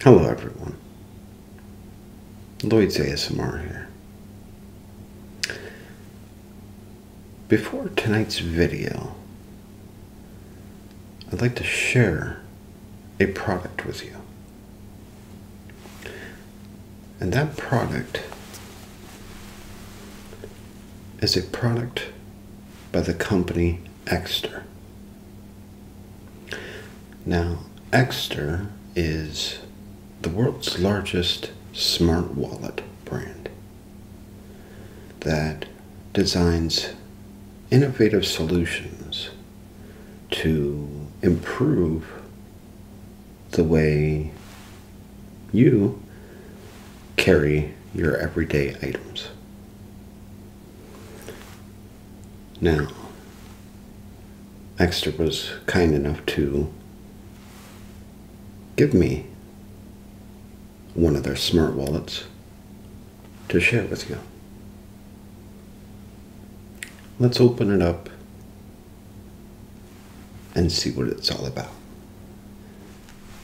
Hello everyone, Lloyd's ASMR here. Before tonight's video, I'd like to share a product with you. And that product is a product by the company Exter. Now, Exter is the world's largest smart wallet brand that designs innovative solutions to improve the way you carry your everyday items. Now, Exter was kind enough to give me one of their smart wallets to share with you. Let's open it up and see what it's all about.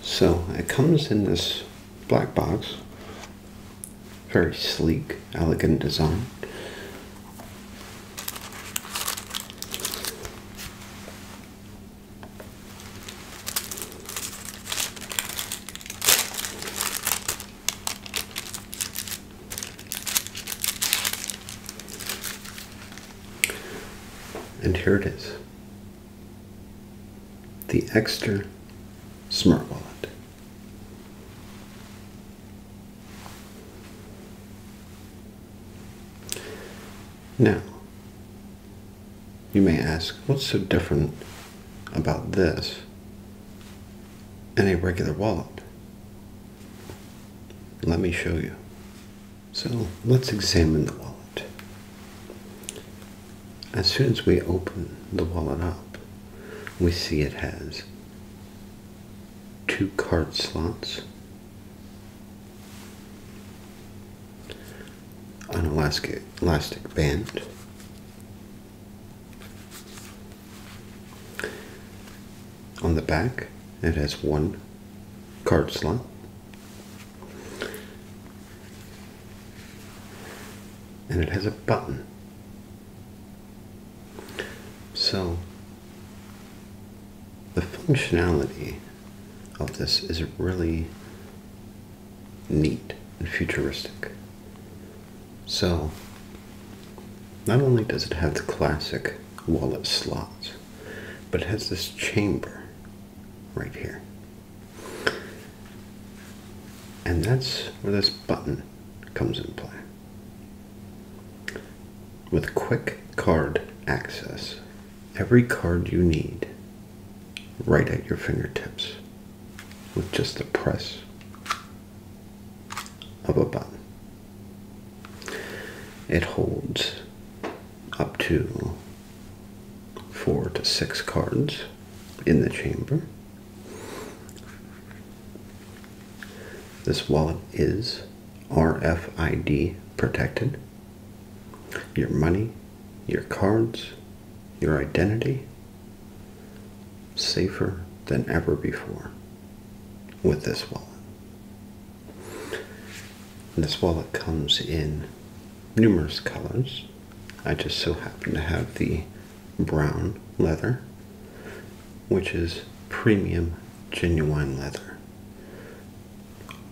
So it comes in this black box. Very sleek, elegant design. And here it is the Exter Smart Wallet. Now, you may ask, what's so different about this and a regular wallet? Let me show you. So let's examine the wallet as soon as we open the wallet up, we see it has two card slots, an elastic, elastic band, on the back it has one card slot and it has a button. So the functionality of this is really neat and futuristic. So not only does it have the classic wallet slot, but it has this chamber right here. And that's where this button comes in play. With quick card access, every card you need right at your fingertips with just the press of a button. It holds up to four to six cards in the chamber. This wallet is RFID protected. Your money, your cards, your identity, safer than ever before with this wallet. This wallet comes in numerous colors. I just so happen to have the brown leather, which is premium genuine leather.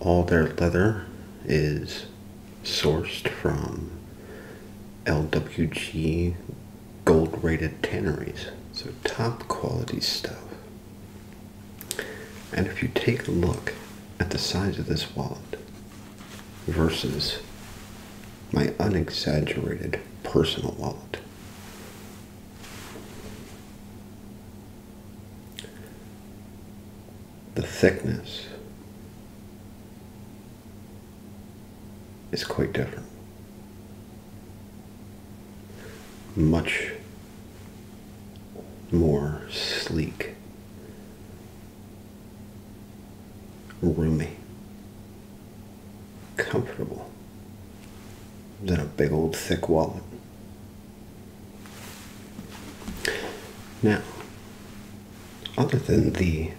All their leather is sourced from LWG gold rated tanneries, so top quality stuff. And if you take a look at the size of this wallet, versus my unexaggerated personal wallet. The thickness is quite different. Much more sleek roomy, comfortable than a big old thick wallet. Now, other than the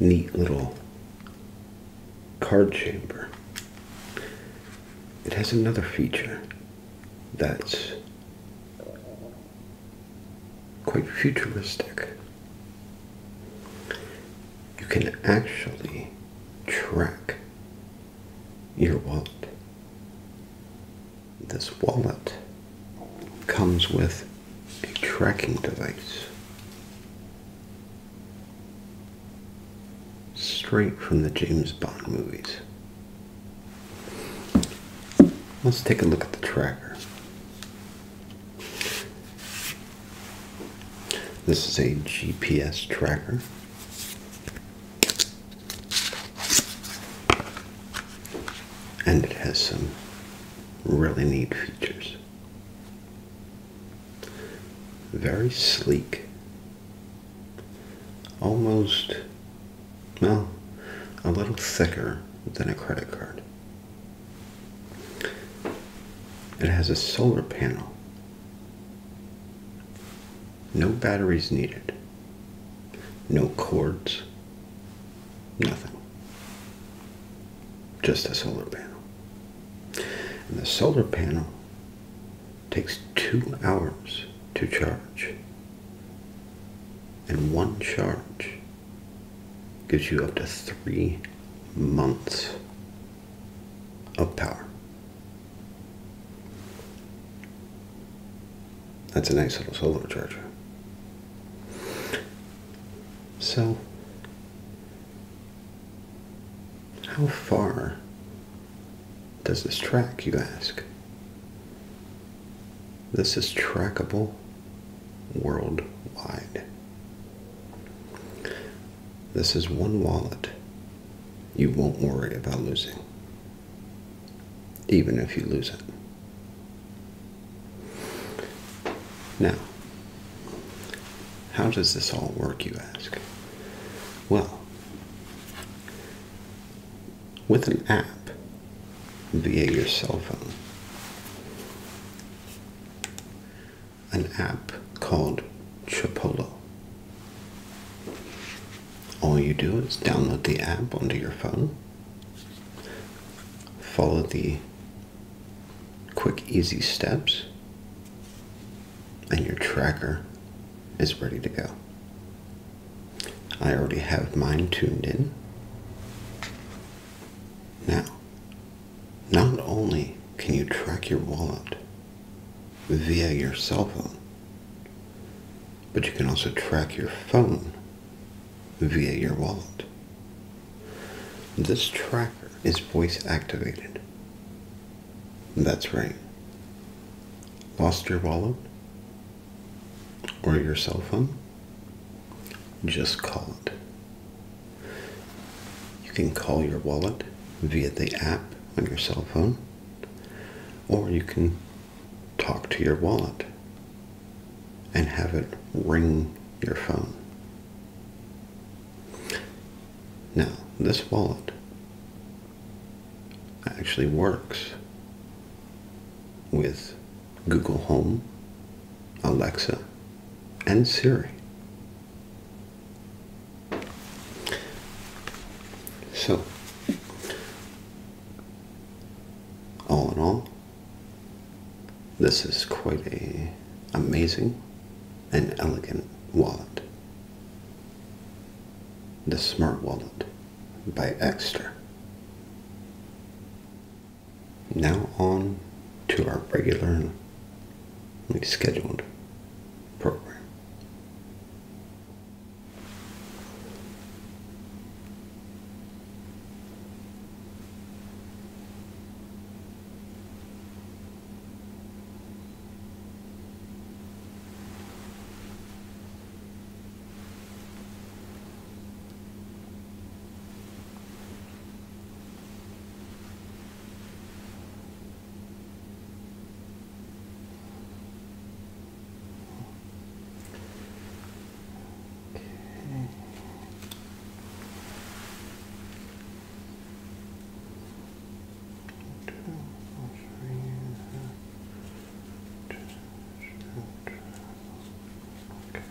neat little card chamber, it has another feature that's quite futuristic. You can actually track your wallet. This wallet comes with a tracking device straight from the James Bond movies. Let's take a look at the tracker. This is a GPS tracker. And it has some really neat features. Very sleek, almost well, a little thicker than a credit card. It has a solar panel. No batteries needed. No cords. Nothing. Just a solar panel. And the solar panel takes two hours to charge. And one charge gives you up to three months of power. That's a nice little solar charger. So, how far does this track, you ask? This is trackable worldwide. This is one wallet you won't worry about losing, even if you lose it. Now, how does this all work, you ask? Well, with an app via your cell phone. An app called Chipolo. All you do is download the app onto your phone, follow the quick, easy steps, and your tracker is ready to go. I already have mine tuned in. Now, not only can you track your wallet via your cell phone, but you can also track your phone via your wallet. This tracker is voice activated. That's right. Lost your wallet? or your cell phone, just call it. You can call your wallet via the app on your cell phone, or you can talk to your wallet and have it ring your phone. Now, this wallet actually works with Google Home, Alexa, and Siri. So, all in all, this is quite a amazing and elegant wallet. The smart wallet by Extra. Now on to our regularly scheduled program. Two, three, uh, Okay. Oh, that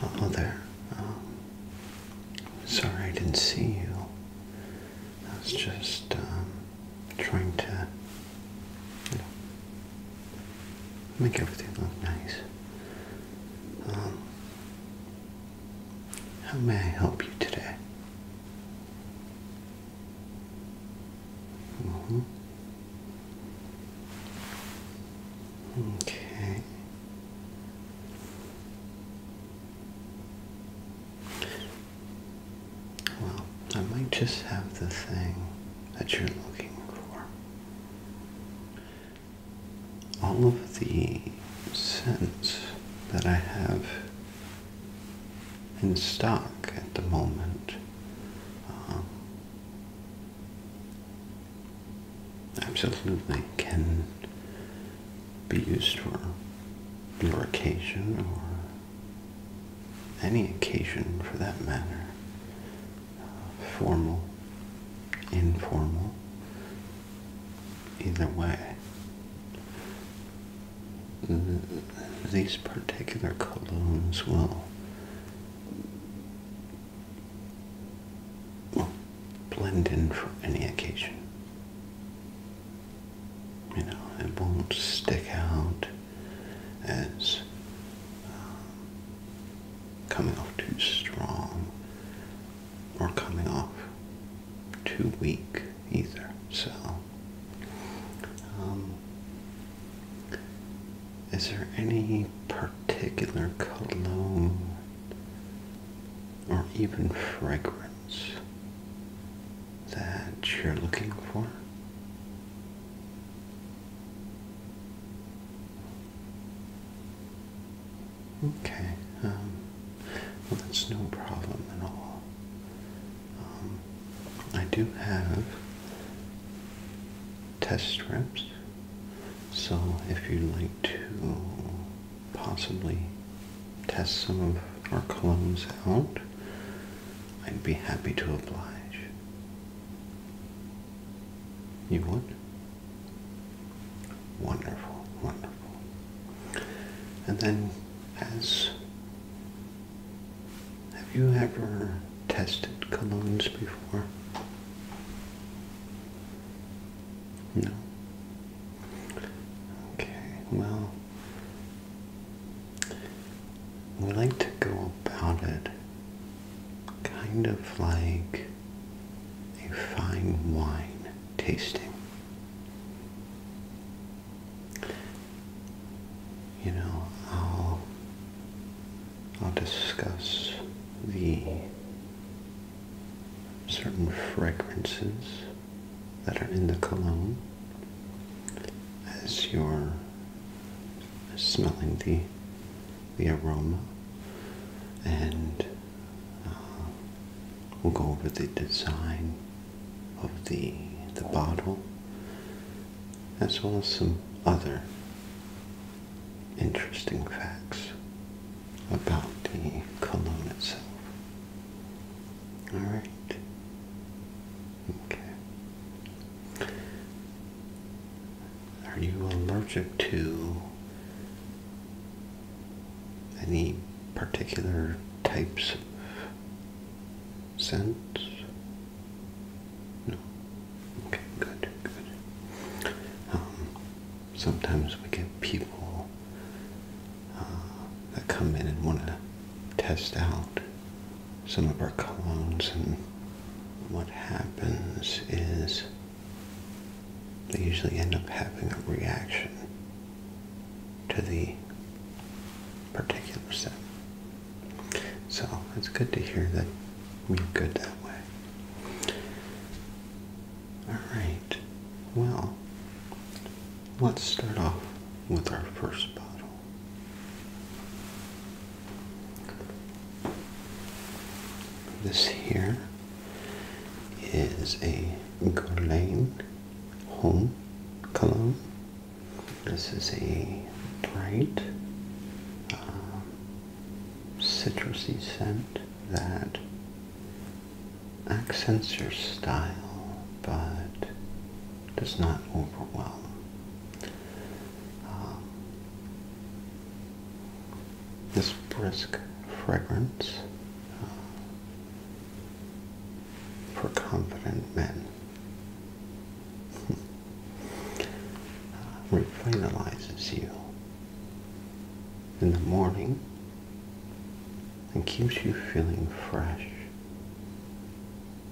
Hello there. Oh. sorry I didn't see you. That's just um, trying to make everything look nice. Um, how may I help you today? Mm-hmm. Okay. Well, I might just have the thing that you're looking for. All of the scents that I have in stock at the moment. Um, absolutely can be used for your occasion or any occasion for that matter, formal, informal, either way. these particular colognes will, will blend in for any occasion. You know, it won't stick out as uh, coming off too strong or coming off too weak either. So, um, is there any particular cologne or even fragrance that you're looking for? Okay, um, well, that's no problem at all. Um, I do have test strips, so if you'd like to possibly test some of our clones out, I'd be happy to oblige. You would? Wonderful, wonderful. And then, as have you ever tested colognes before? No. Okay, well, we like to go about it kind of like a fine wine tasting. You know, I'll I'll discuss the certain fragrances that are in the cologne as you're smelling the the aroma and uh, we'll go over the design of the the bottle as well as some other interesting facts about the cologne itself. Alright. Okay. Are you allergic to any particular types of scents? No. Okay, good, good. Um, sometimes we get people that come in and want to test out some of our colognes and what happens is they usually end up having a reaction to the particular scent. So it's good to hear that we're good that way. Alright, well, let's start off with our first bottle. This here is a Guerlain Home Cologne. This is a bright uh, citrusy scent that accents your style but does not overwhelm. Uh, this brisk fragrance uh, for confident men uh, revitalizes you. In the morning, and keeps you feeling fresh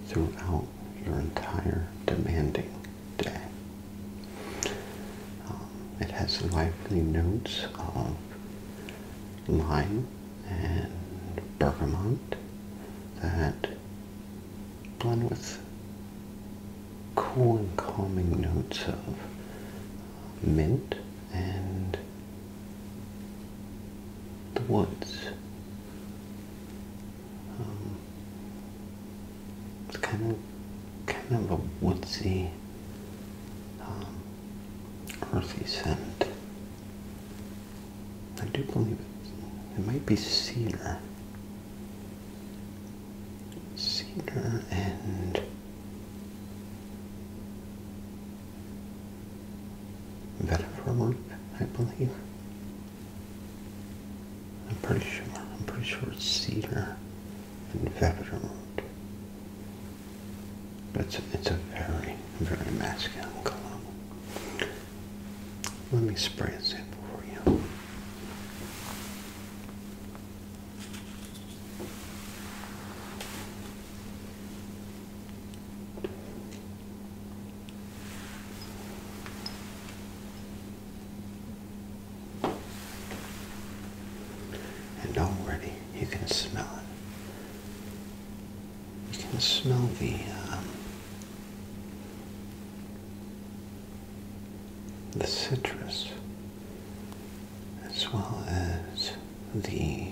throughout your entire demanding day. Um, it has lively notes of lime and bergamot that blend with cool and calming notes of mint and the woods. Um, it's kind of kind of a woodsy, um, earthy scent. I do believe It might be cedar, cedar and Vermont, I believe. I'm pretty sure. I'm pretty sure it's cedar and veverwood. But it's, it's a very, very masculine cologne. Let me spray a sample for you. And already you can smell it. You can smell the um, the citrus as well as the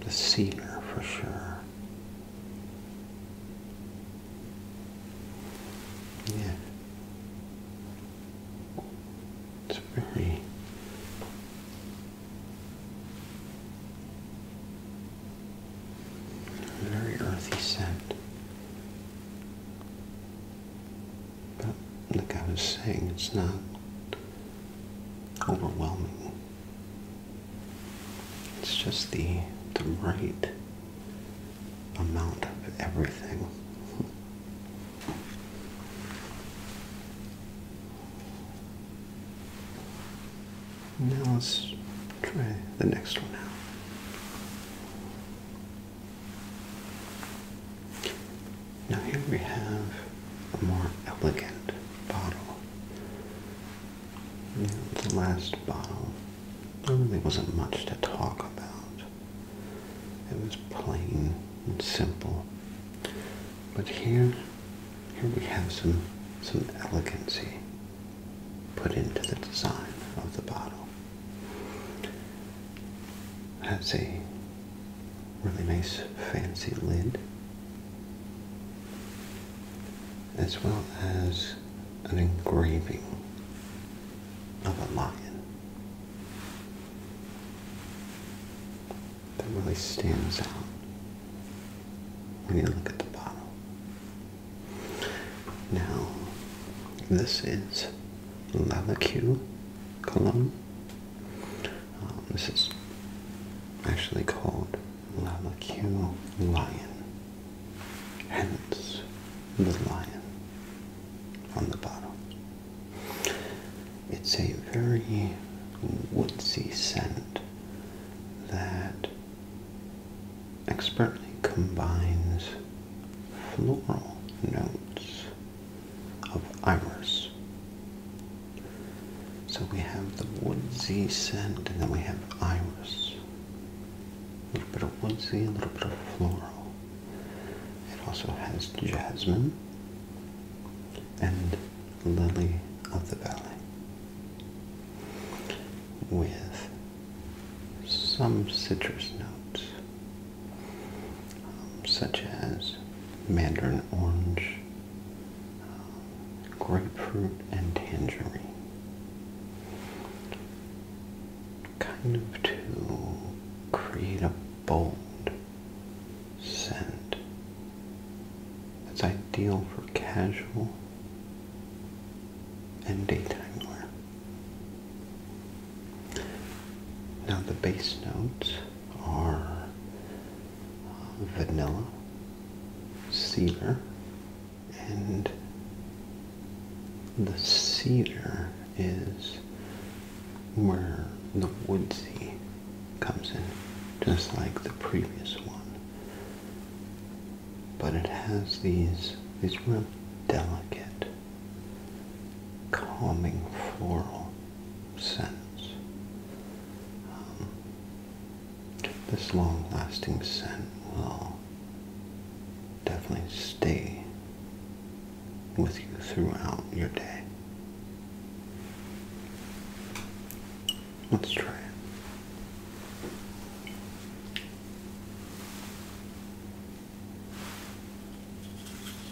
the cedar for sure. Yeah. It's very very earthy scent. But like I was saying, it's not overwhelming. It's just the the right amount of everything. Now let's try the next one now. Now here we have a more elegant bottle. You the last bottle, there really wasn't much to talk about. It was plain and simple. But here, here we have some some elegancy put into the design of the bottle. It has a really nice fancy lid as well as an engraving of a lion that really stands out when you look at the bottle. Now, this is Lalacue Cologne. Um, this is actually called Lalakeel Lion, hence the lion on the bottom. It's a very woodsy scent that expertly combines floral notes of iris. So we have the woodsy scent, and then we have iris. A little bit of woodsy, a little bit of floral. It also has jasmine and lily of the valley with some citrus notes, um, such as mandarin orange grapefruit and tangerine. Kind of to create a bold scent It's ideal for casual and daytime wear. Now the base notes are vanilla, cedar, and the cedar is where the woodsy comes in, just like the previous one. But it has these, these real delicate, calming floral scents. Um, this long-lasting scent will definitely stay with you throughout your day. Let's try it.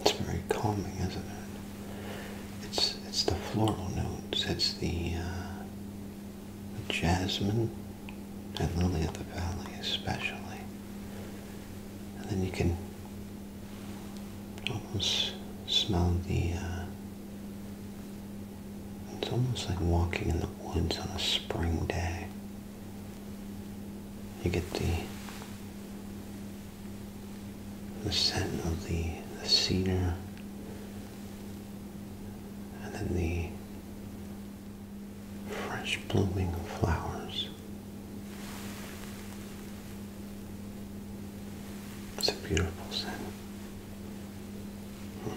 It's very calming, isn't it? It's it's the floral notes. It's uh, the, jasmine and lily of the valley, especially. And then you can almost smell the. Uh, it's almost like walking in the woods on a spring day. You get the the scent of the, cedar and then the fresh blooming flowers. It's a beautiful scent. Hmm.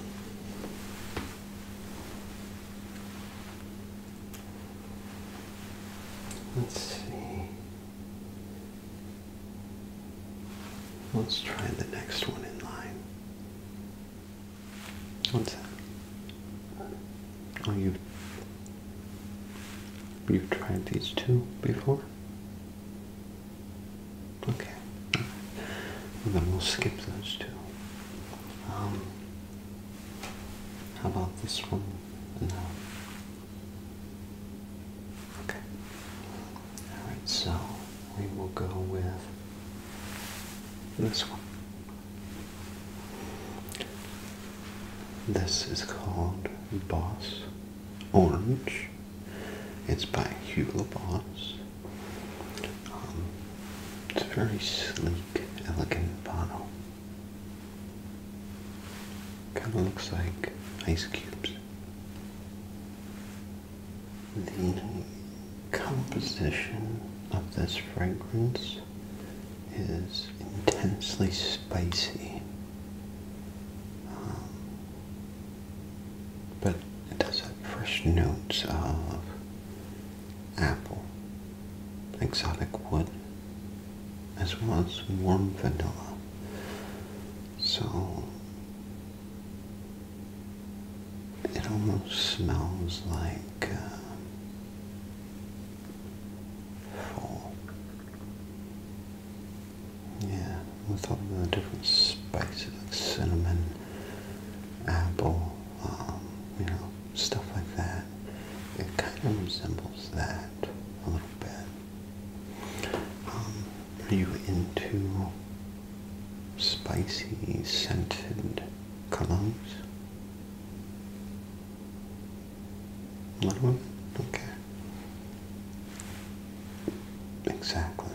Let's see. Let's try the next one in line. What's that? Oh, you you've tried these two before? Okay. Well, then we'll skip those two. Um, how about this one? No. Okay. Alright, so we will go with this one. This is called Boss Orange. It's by Hugo Boss. Um, it's a very sleek, elegant bottle. Kind of looks like ice cubes. The composition of this fragrance is intensely spicy, um, but it does have fresh notes of apple exotic wood, as well as warm vanilla. So it almost smells like uh, Yeah, with all the different spices cinnamon, apple, um, you know, stuff like that. It kind of resembles that a little bit. Um, are you into spicy, scented colognes? A little bit? Okay. Exactly.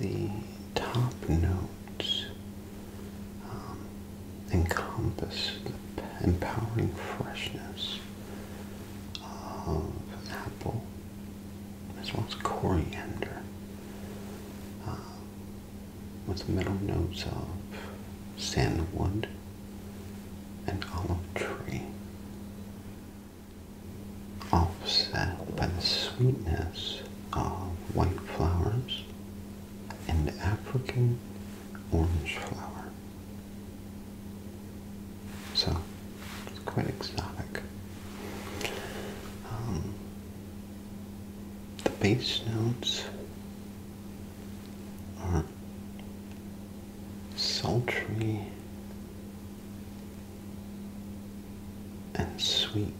The top notes um, encompass the empowering freshness of apple as well as coriander uh, with middle notes of sandwood and olive tree offset by the sweetness of white flowers an African orange flower. So it's quite exotic. Um, the bass notes are sultry and sweet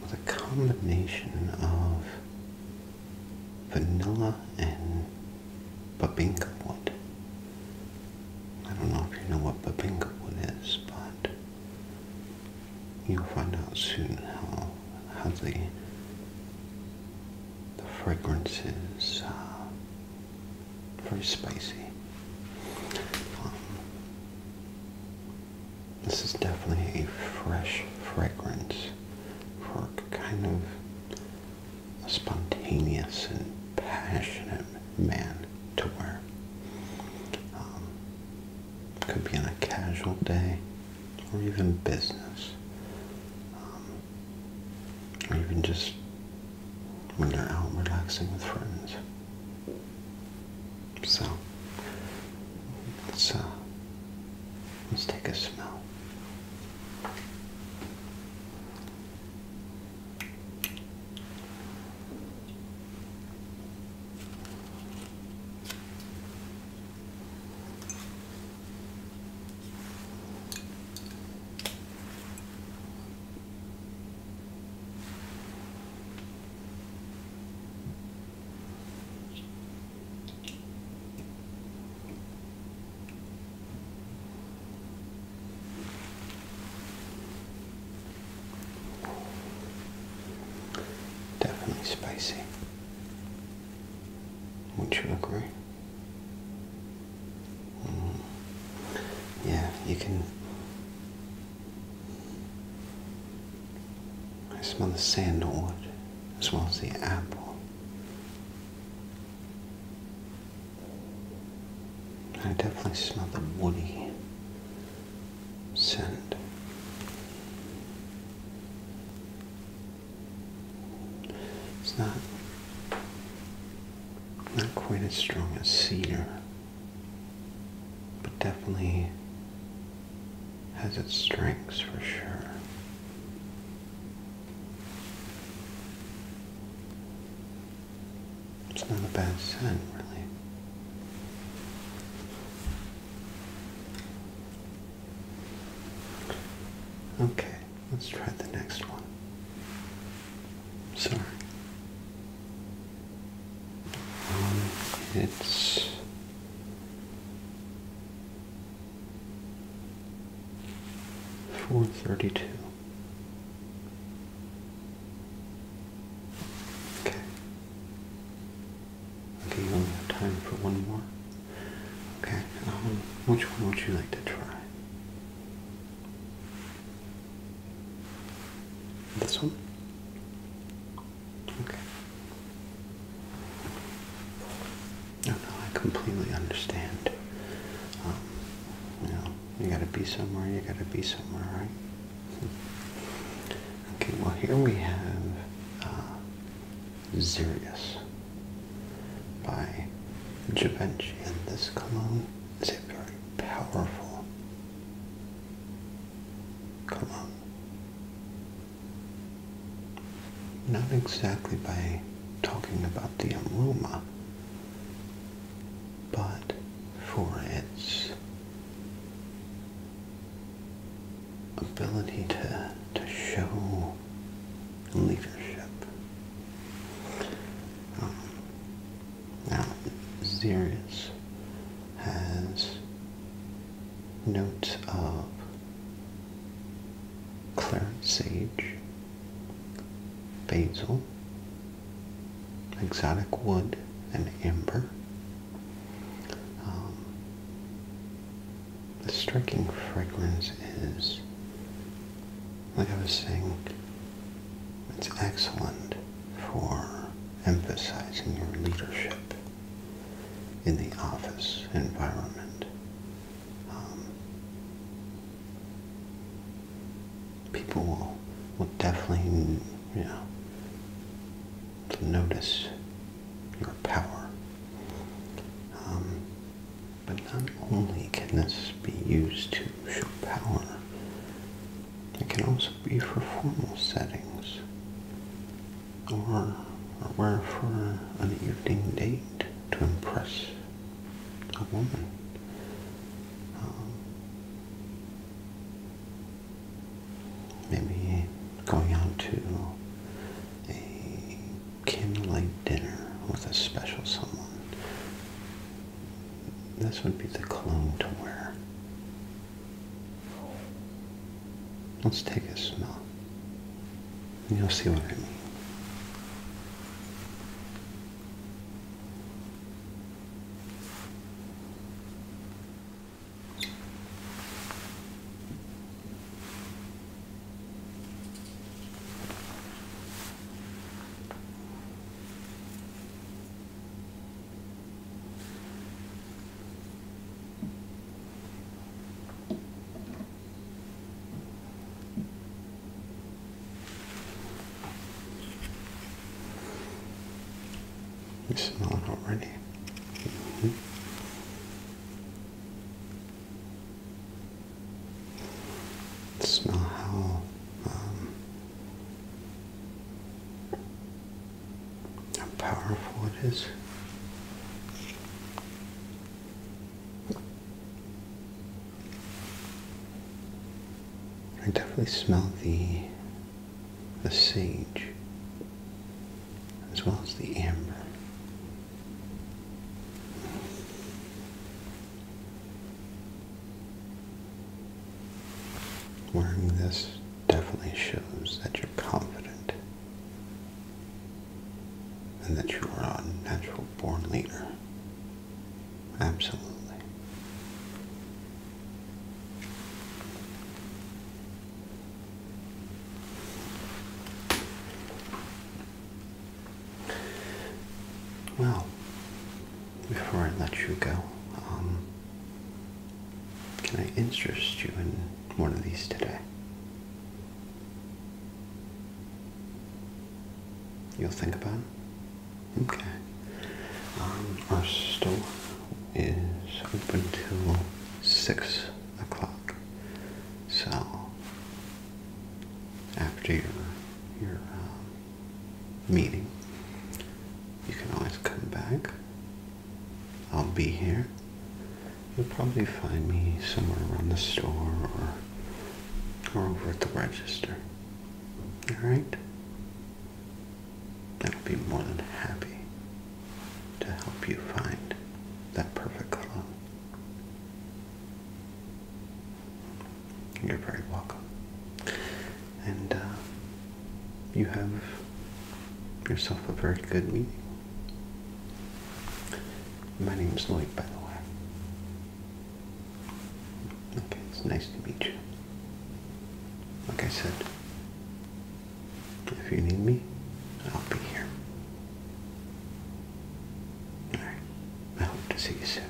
with uh, a combination of vanilla and babinka wood. I don't know if you know what babinka wood is, but you'll find out soon how the the fragrance is uh, very spicy. Um, this is definitely a fresh fragrance for kind of a spontaneous and passionate man to wear. Um, could be on a casual day or even business. Um, or even just when they're out relaxing with friends. So let's let's take a smell. Definitely spicy. Would you agree? Mm. Yeah, you can I smell the sandalwood as well as the apple. I definitely smell the woody scent. It's not not quite as strong as cedar but definitely has its strengths for sure. It's not a bad scent, really. Okay, let's try the next one. Sorry it's four thirty two. Okay. Okay, you only have time for one more. Okay, um, which one would you like to try? This one? Okay. No, oh, no, I completely understand. Um, you know, you gotta be somewhere, you gotta be somewhere, right? Hmm. okay, well, here we have uh, by Givenchy, and this cologne is a very powerful Cologne. Not exactly by talking about the aroma, but for its ability to, to show leadership. Um, now, Xerius has notes of claret sage, basil, exotic wood, and amber. Um, the striking fragrance is, like I was saying, it's excellent for emphasizing your leadership in the office environment. Um, people will, will definitely, you know, notice your power. Um, but not only can this be used to show power, it can also be for formal settings or, or wear for an evening date to impress a woman. Um, maybe going out to a candlelight dinner with a special someone. This would be the cologne to wear Let's take a smell. you'll see what I mean. You smell it already. Mm-hmm. Smell how um, how powerful it is. I definitely smell the the sage as well as the amber. Wearing this definitely shows that you're confident and that you are a natural born leader. Absolutely. Well, before I let you go, um, can I interest you in one of these today? You'll think about it? Okay. Um, our store is open till 6 o'clock. So, after your, your uh, meeting, you can always come back. I'll be here. You'll probably find me somewhere around the store or, or over at the register. Alright? I'll be more than happy to help you find that perfect cologne. You're very welcome and uh, you have yourself a very good meeting. My name is Lloyd, by the way. Okay, it's nice to meet you. Like I said, if you need me, I'll be here. Alright, I hope to see you soon.